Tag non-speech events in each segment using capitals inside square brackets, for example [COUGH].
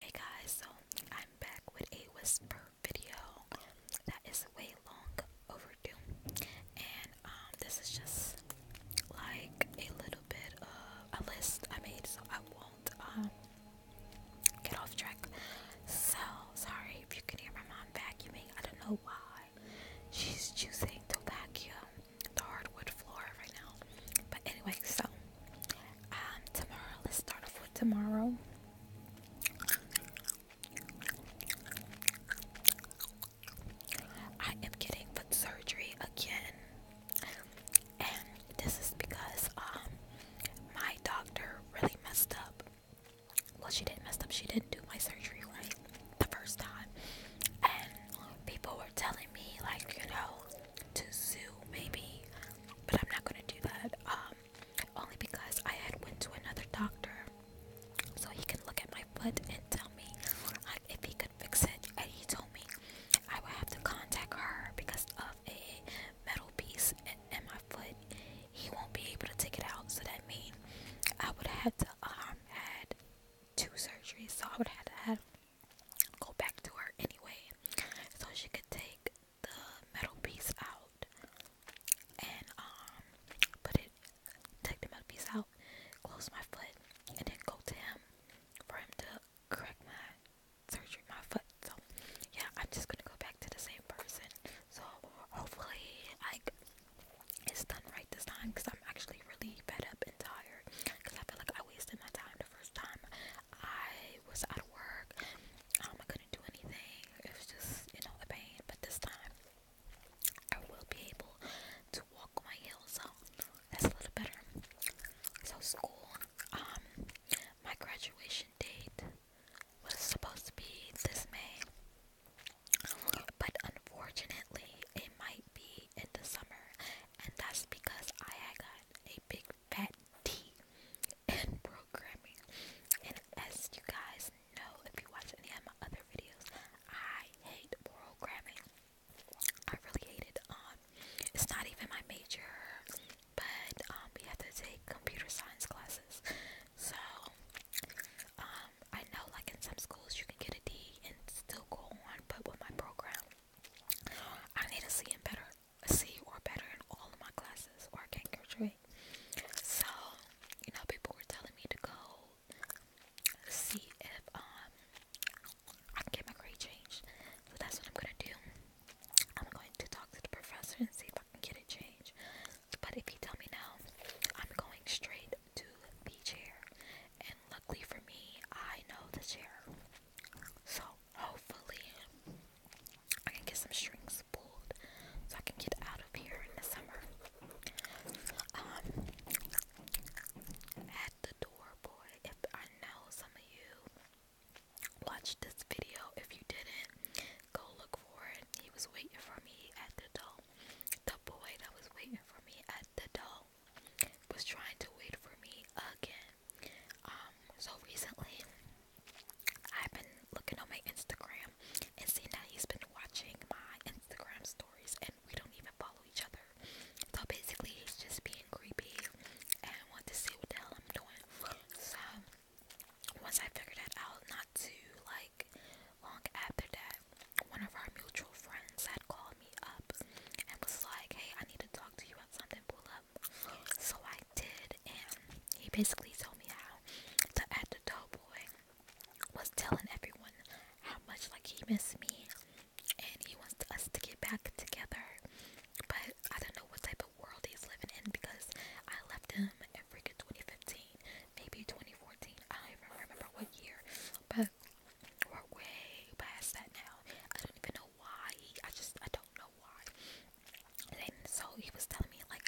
Hey guys, so I'm back with a whisper video that is way long overdue, and um, this is just like a little bit of a list I made, so I won't um, get off track. So sorry if you can hear my mom vacuuming. I don't know why she's choosing to vacuum the hardwood floor right now, but anyway, so um, tomorrow, let's start off with tomorrow. I am getting foot surgery again, and this is because um my doctor really messed up. Well, she didn't mess up. She didn't do my surgery right the first time, and people were telling me like, you know, to zoo maybe, but I'm not gonna do that. Um, only because I had went to another doctor, so he can look at my foot and tell me like, uh, if he could fix it. And he told me I would have to contact her because of a metal piece in, my foot. He won't be able to take it out, so that means I would have to um had two surgeries. So I would have to have go back to her anyway. So she could take the metal piece out and um put it take the metal piece out, close my foot, and then go to him for him to correct my surgery my foot. So yeah, I'm just gonna go back to the same person. So hopefully like it's done right this time because I'm actually really fed up and tired because I feel like I wasted my time first time I was out of work. Um, I couldn't do anything. It was just, you know, the pain. But this time, I will be able to walk on my heels, so that's a little better. So school, um, my graduation date was supposed to be this May, but unfortunately, it might be in the summer, and that's because I had a big fat D in programming. And as you guys know, if you watch any of my other videos, I hate programming. I really hated it. Um, it's not even my major, but um, we have to take computer science classes. So, um, I know like in some schools you can get a D and still go on, but with my program, I need a C and better, a C or better in all of my classes, or I can't graduate. So, you know, people were telling me to go see if um I can get my grade changed. So that's what I'm gonna do. I'm going to talk to the professor and see if I can get a change. But if you tell me now, I'm going straight to the chair. And luckily for me, I know the chair. So hopefully I can get some strings pulled so I can get out of here in the summer. Um at the door boy, if I know some of you watched this video. If you didn't, go look for it. He was waiting for me at the door. The boy that was waiting for me at the door was trying to wait for me again. Um, so recently I've been looking on my Instagram and seeing that he's been watching my Instagram stories and we don't even follow each other. So basically he's just being creepy and want to see what the hell I'm doing. So once I figured that out not too like long after that, one of our mutual friends had called up and was like, hey, I need to talk to you about something, pull up. So I did, and he basically told me how the at the boy was telling everyone how much like he missed me and he wants us to get back together. But I don't know what type of world he's living in because I left him in freaking 2015, maybe 2014. I don't even remember what year, but we're way past that now. I don't even know why. I just I don't know why. And so he was telling me like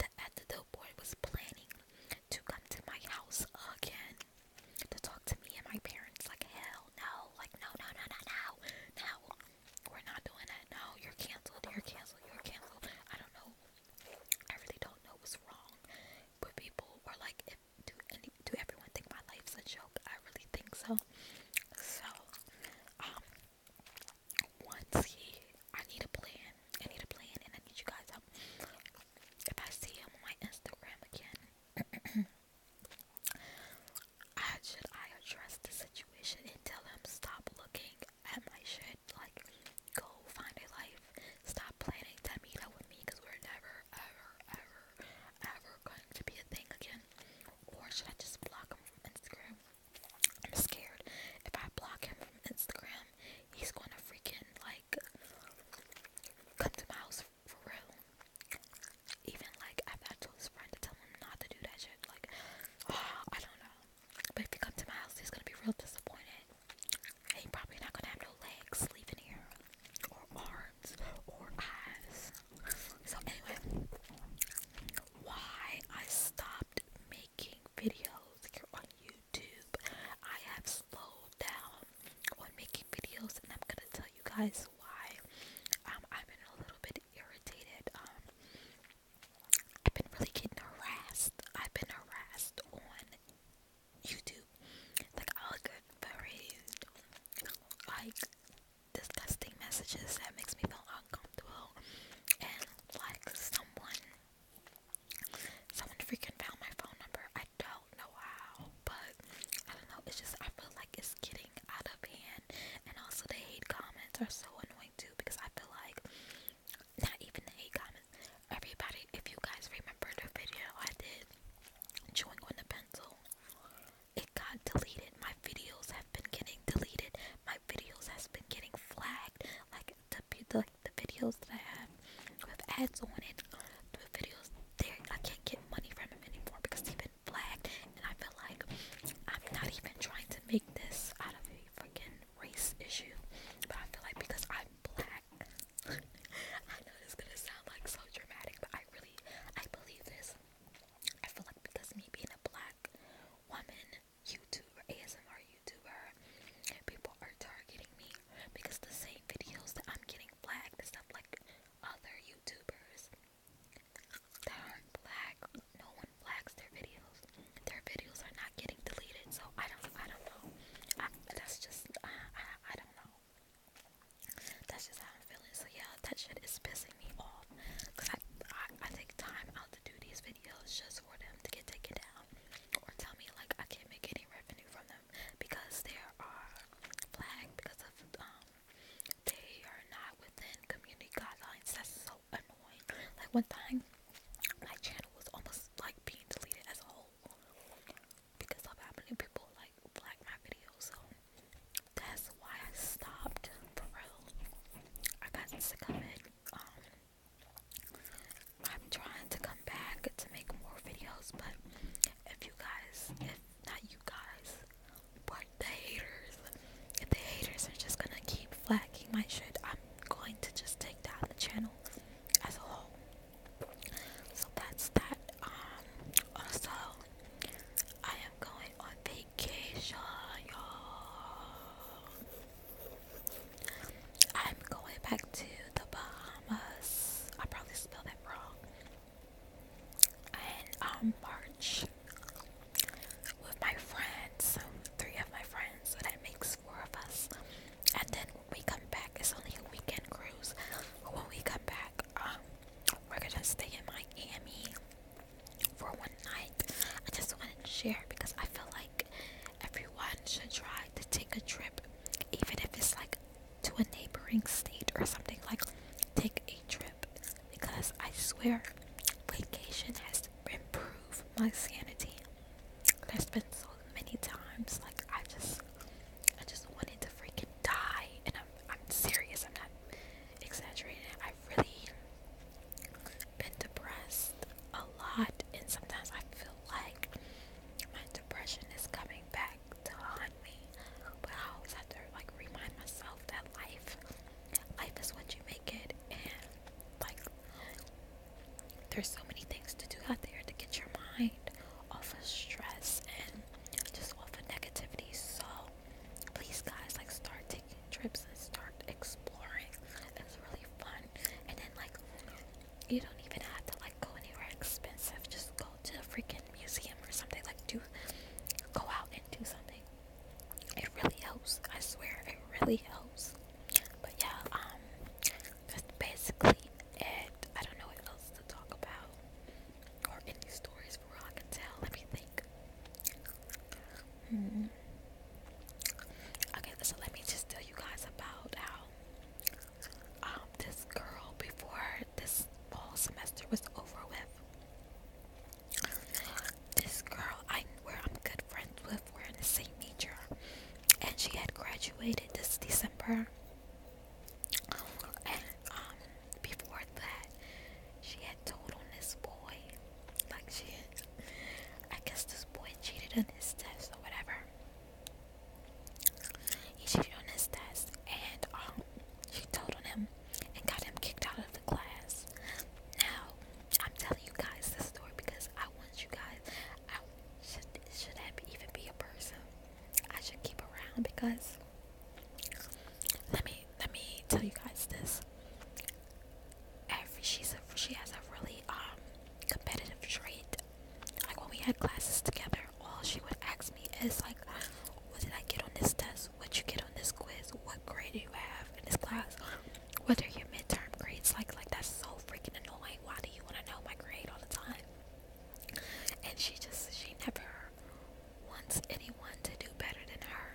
that after the boy was planning to come to my house again to talk to me and my parents. Like hell no, like no no no no no no. We're not doing that. No, you're canceled. You're canceled. You're canceled. I don't know. I really don't know what's wrong, but people were like, do any do everyone think my life's a joke? I really think so. So um once he I need a plan. I need a plan and I need you guys help. If I see him on my Instagram again [CLEARS THROAT] I should I address the situation and tell him stop looking at my shit, like go find a life Stop planning to meet up with me because we're never, ever, ever, ever going to be a thing again. Or should I just block him from Instagram? I'm scared. If I block him from Instagram, he's going to freaking like come to my house for real. Even like after I told his friend to tell him not to do that shit, like [SIGHS] I don't know. But if he comes to my house, he's gonna be real disappointed. Ain't probably not gonna have no legs or arms, or eyes. So anyway, why I stopped making videos here on YouTube, I have slowed down on making videos, and I'm gonna tell you guys why. Um, I've been a little bit irritated. Um, I've been really getting harassed. I've been harassed on YouTube. Like I'll very like disgusting messages that makes me feel uncomfortable and like someone someone freaking found my phone number. I don't know how, but I don't know, it's just I feel like it's getting out of hand and also the hate comments are so annoying too because I feel like not even the hate comments Everybody, if you guys remember the video I did chewing on the pencil, it got deleted. My videos have been getting deleted. My videos has been getting flagged. Like the videos that I have with ads on it, the videos there I can't get money from anymore because they've been flagged. And I feel like I'm not even trying to make this out of a freaking race issue, but I feel like because I'm black. I know it's gonna sound like so dramatic, but I really I believe this. I feel like because me being a black woman YouTuber, ASMR YouTuber, people are targeting me because the same videos that I'm getting flagged is not like other YouTubers that aren't black, no one flags their videos. Their videos are not getting deleted, so I don't I don't know that's just I, I don't know. That's just how I'm feeling. So yeah, that shit is pissing me off. Cause I, I I take time out to do these videos just for them to get taken down or tell me like I can't make any revenue from them because there are flagged because of um they are not within community guidelines. That's so annoying. Like one time my channel was almost like being deleted as a whole because of how many people like like my videos. So that's why I stopped for real. I got sick of it. Um, I'm trying to come back to make more videos, but if you guys, if not you guys, but the haters, if the haters are just gonna keep flagging my shit, I'm going to just take down the channel as a whole. So that's that. Um, also, I am going on vacation, y'all. I'm going back to the Bahamas. I probably spelled that wrong. And um, March with my friends, three of my friends. So that makes four of us. And then we come back, it's only a weekend cruise. When we come back, um, we're gonna stay in Miami for one night. I just wanted to share because I feel like everyone should try to take a trip, even if it's like to a neighboring state or something. Like, take a trip because I swear, vacation has improved my sanity. I've been so many times. Like I just, I just wanted to freaking die, and I'm, I'm serious. I'm not exaggerating. I've really been depressed a lot, and sometimes I feel like my depression is coming back to haunt me. But I always have to like remind myself that life, life is what you make it, and like there's so many things to do out there to get your mind off of stress and just off of negativity. So please guys like start taking trips and start exploring. It's really fun. And then like you don't even have to like go anywhere expensive. Just go to a freaking museum or something. Like do go out and do something. It really helps. I swear it really helps. But yeah, um, that's basically it. I don't know what else to talk about or any stories for all I can tell. Let me think. Hmm. Okay, so let me just tell you guys about how um this girl before this whole semester was over with. This girl, I where I'm good friends with were in the same major, and she had graduated this December. And um, before that, she had told on this boy, like she, I guess this boy cheated on his test or whatever. He cheated on his test, and um, she told on him and got him kicked out of the class. Now, I'm telling you guys this story because I want you guys. I should should even be a person I should keep around because let me let me tell you guys this. Every she's she has a really um competitive trait. Like when we had classes together, all she would ask me is like, "What did I get on this test? What you get on this quiz? What grade do you have in this class?" What are your midterm grades like? Like that's so freaking annoying. Why do you want to know my grade all the time? And she just she never wants anyone to do better than her.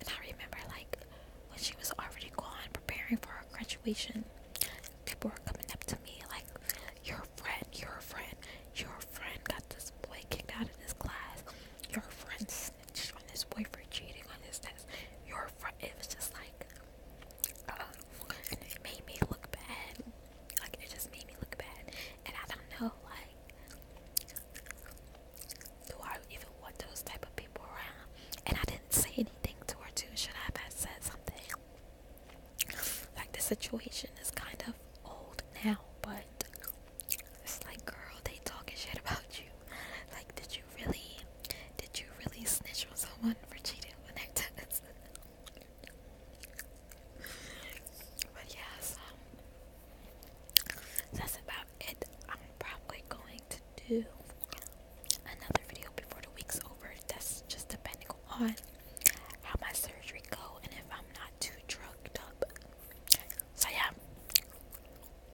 And I remember like when she was already gone preparing for her graduation, people were coming up to me like, Your friend, your friend, your friend got this boy kicked out of this class. Your friend's snitched on his boyfriend cheating on his test. Your friend, it was just like, um, it made me look bad. Like, it just made me look bad. And I don't know, like, do I even want those type of people around? And I didn't say anything to her, Should I have said something? Like, the situation is kind of old now, but it's like, girl, they talking shit about you. Like, did did you really did you really snitch on someone for cheating on their test? [LAUGHS] but yeah, um, that's about it. I'm probably going to do another video before the week's over. That's just depending on how my surgery go and if I'm not too drugged up. So yeah,